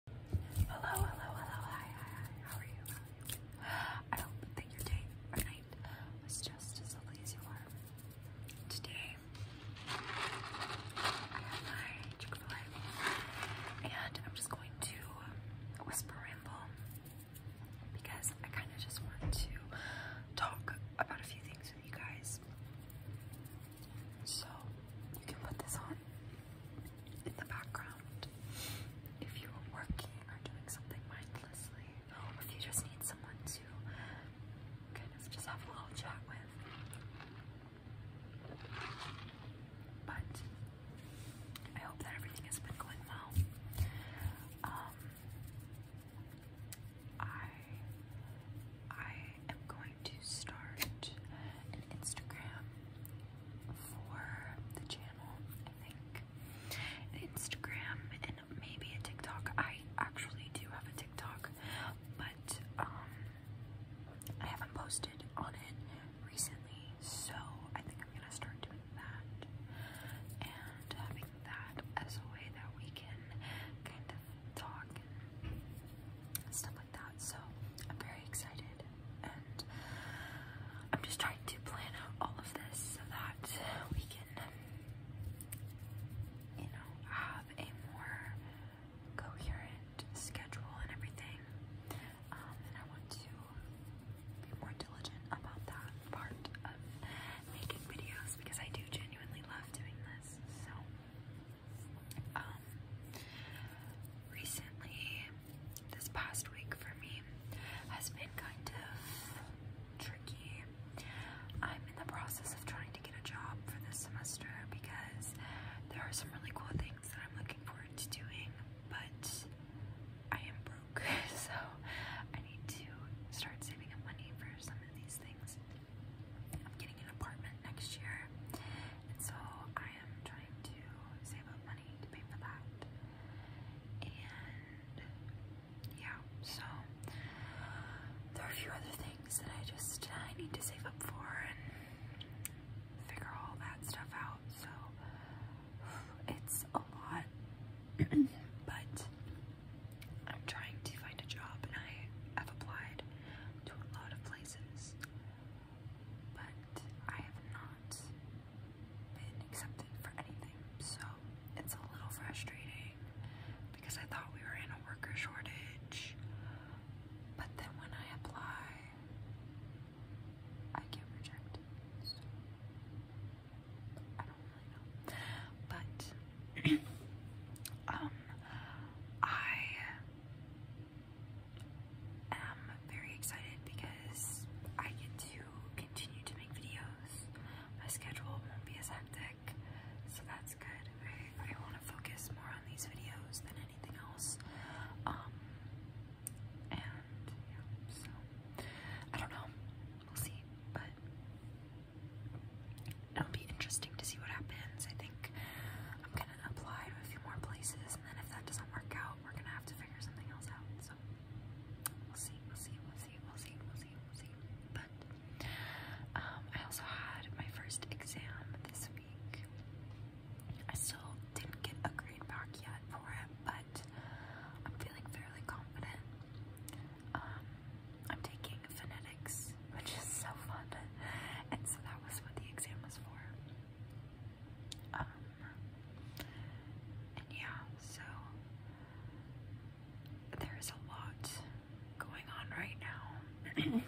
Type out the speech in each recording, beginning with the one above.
Hello, hello, hello, hi, hi, hi. How are you? I hope that your day or night was just as lovely as you are. Today, I have my Chick-fil-A, and I'm just going to whisper ramble because I kind of just want to talk about a few things with you guys. So you can put this on in the background if you are working or doing something mindlessly, or if you just need someone to just have a little chat with. But I hope that everything has been going well. Um, I I am going to start an Instagram for the channel, I think. Instagram and maybe a TikTok. I actually do have a TikTok, but um I haven't posted on it recently, so I think I'm gonna start doing that. And having that as a way that we can kind of talk and stuff so I'm very excited and I'm just trying to plan out all of this so that we can, you know, have a more coherent schedule and everything. Um, and I want to be more diligent about that part of making videos because I do genuinely love doing this. So um, recently, this past week for me has been kind of tricky. I'm in the process of trying to get a job for this semester because there are some really cool things that I'm looking forward to doing, but I am broke, so I need to start saving up money for some of these things. I'm getting an apartment next year, so I I am trying to save up money to pay for that. And yeah, so there are a few other things that I just I uh, need to save up for and figure all that stuff out. So it's a lot, but I'm trying to find a job and I have applied to a lot of places but I have not been accepted for anything, so it's a little frustrating because I thought we were in a worker shortage, but then when I apply, I get rejected, I don't really know, but um, I i am very excited because I get to continue to make videos. My schedule won't be as hectic, so that's good. I, want to focus more on these videos than anything else. Um, and so I don't know. We'll see, but it'll be interesting to see what happens. I think apply to a few more places, and then if that doesn't work out, we're gonna have to figure something else out. So we'll see, we'll see, we'll see, we'll see, we'll see, we'll see. But um, I also had my first exam this week. I still didn't get a grade back yet for it, but I'm feeling fairly confident. Um, I'm taking phonetics which is so fun. And so that was what the exam was for. Um, and yeah, so there is a lot going on right now.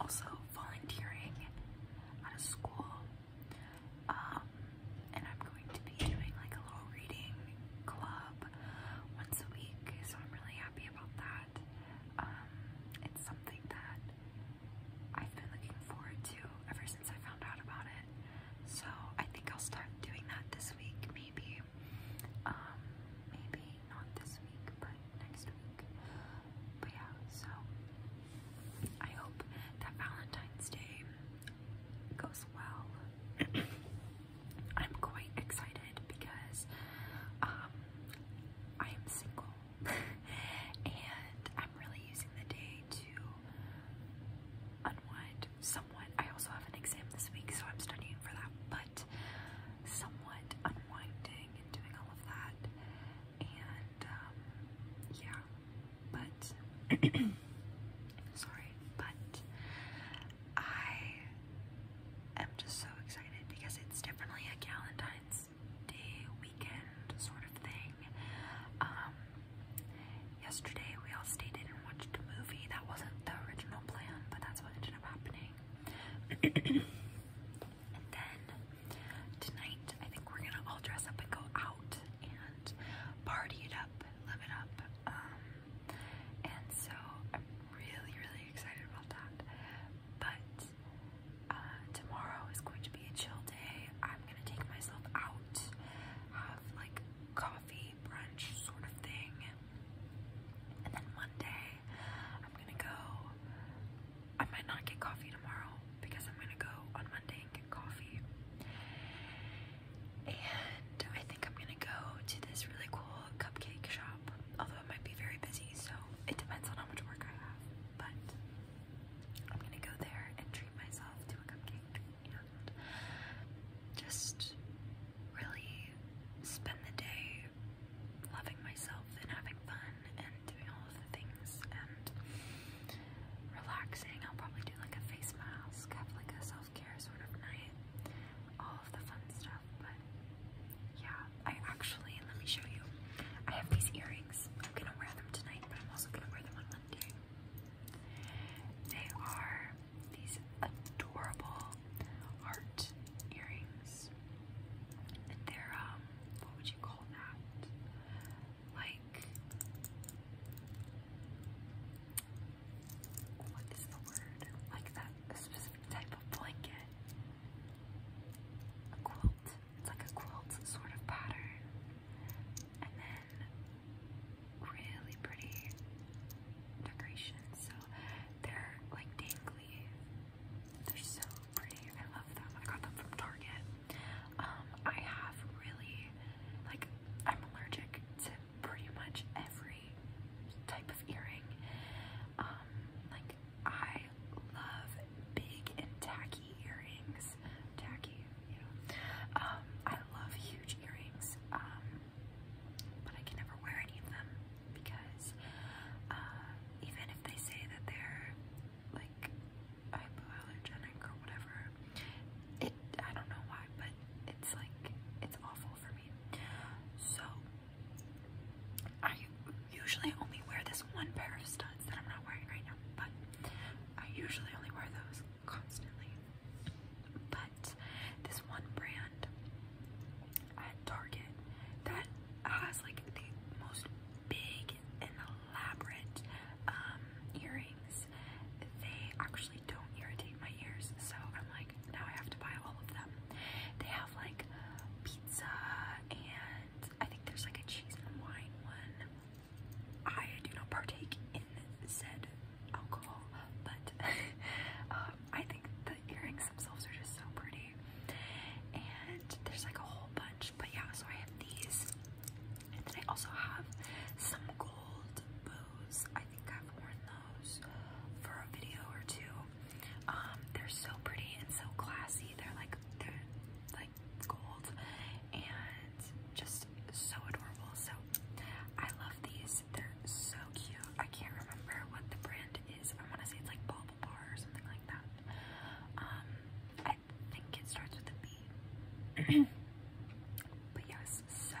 also volunteering at a school. Um, and I'm going to be doing like a little reading club once a week, so I'm really happy about that. Um, it's something that I've been looking forward to ever since I found out about it. So I think I'll start doing that this week, maybe. Um, maybe not this week, but next week. But yeah, so I hope that Valentine's Day goes well. I'm quite excited because um, I am single and I'm really using the day to unwind somewhat. I also have an exam this week, so I'm studying for that, but somewhat unwinding and doing all of that. And um, yeah, but sorry, but I am just so excited because it's definitely a Galentine's day weekend sort of thing. Um, yesterday we all stayed in and watched a movie. That wasn't the original plan, but that's what ended up happening. and then tonight, I think we're gonna all dress up and go out and party it up, live it up. Um, and so I'm really, really excited about that. But uh, tomorrow is going to be a chill day. I'm gonna take myself out, have like coffee, brunch sort of thing. And then Monday, I'm gonna go. I might not get coffee tomorrow because I'm gonna go on Monday and get coffee. And I think I'm gonna go to this really cool cupcake shop, although it might be very busy, so it depends on how much work I have. But I'm gonna go there and treat myself to a cupcake and just really spend the day loving myself and having fun and doing all of the things and relaxing. I'll probably do like a face mask, have like a self care sort of night, all of the fun stuff, but yeah, I actually, let me show you. I have these earrings. I'm gonna wear them tonight, but I'm also gonna wear them on Monday. They are these adorable art earrings. they're, um, what would you call that? Like, what is the word? Like that, specific type of blanket a quilt. It's like a quilt sort of pattern. And then really pretty decorations. So they're like dangly. They're so pretty. I love them. I got them from Target. Um, I have really like I'm allergic to pretty much every type of earring. Um, like I love big and tacky earrings. Tacky, you know. Um, I love huge earrings, um, but I can never wear any of them because uh, even if they say that they're like hypoallergenic or whatever, it I don't know why, but it's like it's awful for me. So I usually only wear this one pair of studs that I'm not wearing right now, but I usually only wear those constantly. But this one brand at Target that has like the most big and elaborate um, earrings, they actually don't irritate my ears, so I'm like now I have to buy all of them. They have like pizza and I think there's like a cheese and wine one. I do not partake in said alcohol, but um, I think the earrings themselves are just so pretty. And there's like a whole bunch, but yeah, so I have these. And then I also have some gold bows. I think I've worn those for a video or two. Um, they're so pretty and so classy. They're like they're like gold and just so adorable. So I love these. They're so cute. I can't remember what the brand is. I want to say it's like Bobble Bar or something like that. Um, I think it starts with a B. but yes, so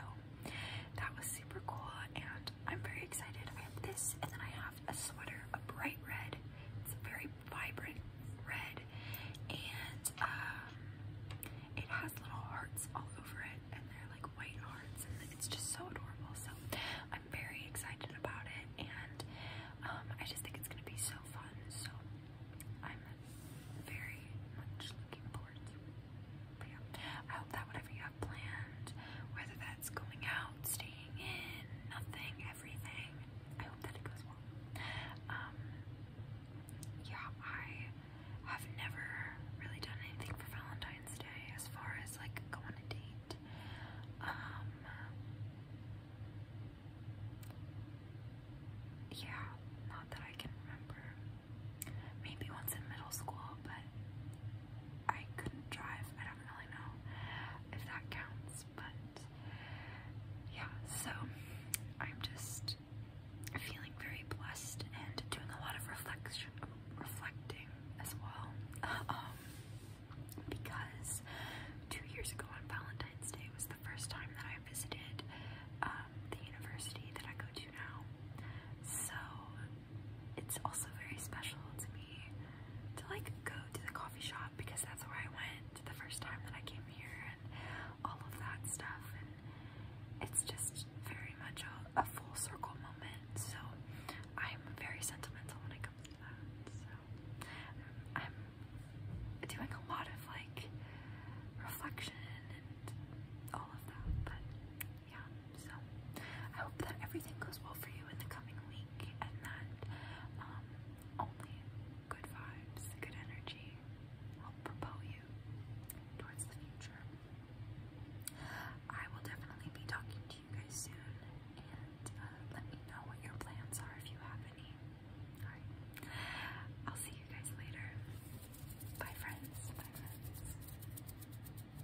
that was super cool and I'm very excited. I have this, and then I have a sweater, a bright red. It's a very vibrant red, and um, it has little hearts all over it, and they're like white hearts, and it's just so adorable. So I'm very excited about it, and um, I just think it's gonna be so fun. So I'm very much looking forward to it. I hope that what you have planned, whether that's going out, staying in, nothing, everything. I hope that it goes well. Um, yeah, I have never really done anything for Valentine's Day as far as like go on a date. Um, yeah, not that I can remember. Maybe once in middle school, but I couldn't drive don't really know if that counts, but yeah, so I'm just feeling very blessed and doing a lot of reflection, reflecting as well, um, because two years ago on Valentine's Day was the first time that I visited um, the university that I go to now, so it's also very special to me to like go to the coffee shop because that's where I went the first time that I came here and all of that stuff it's just very much a, a full circle moment so I'm very sentimental when it comes to that so I'm doing a lot of like reflection and all of that but yeah, so I hope that everything goes well for you in the coming week and that um, only good vibes, good energy will propel you towards the future. I will definitely be talking to you guys soon and uh, let me know what your plans are if you have any. Alright, I'll see you guys later. Bye, friends. Bye, friends.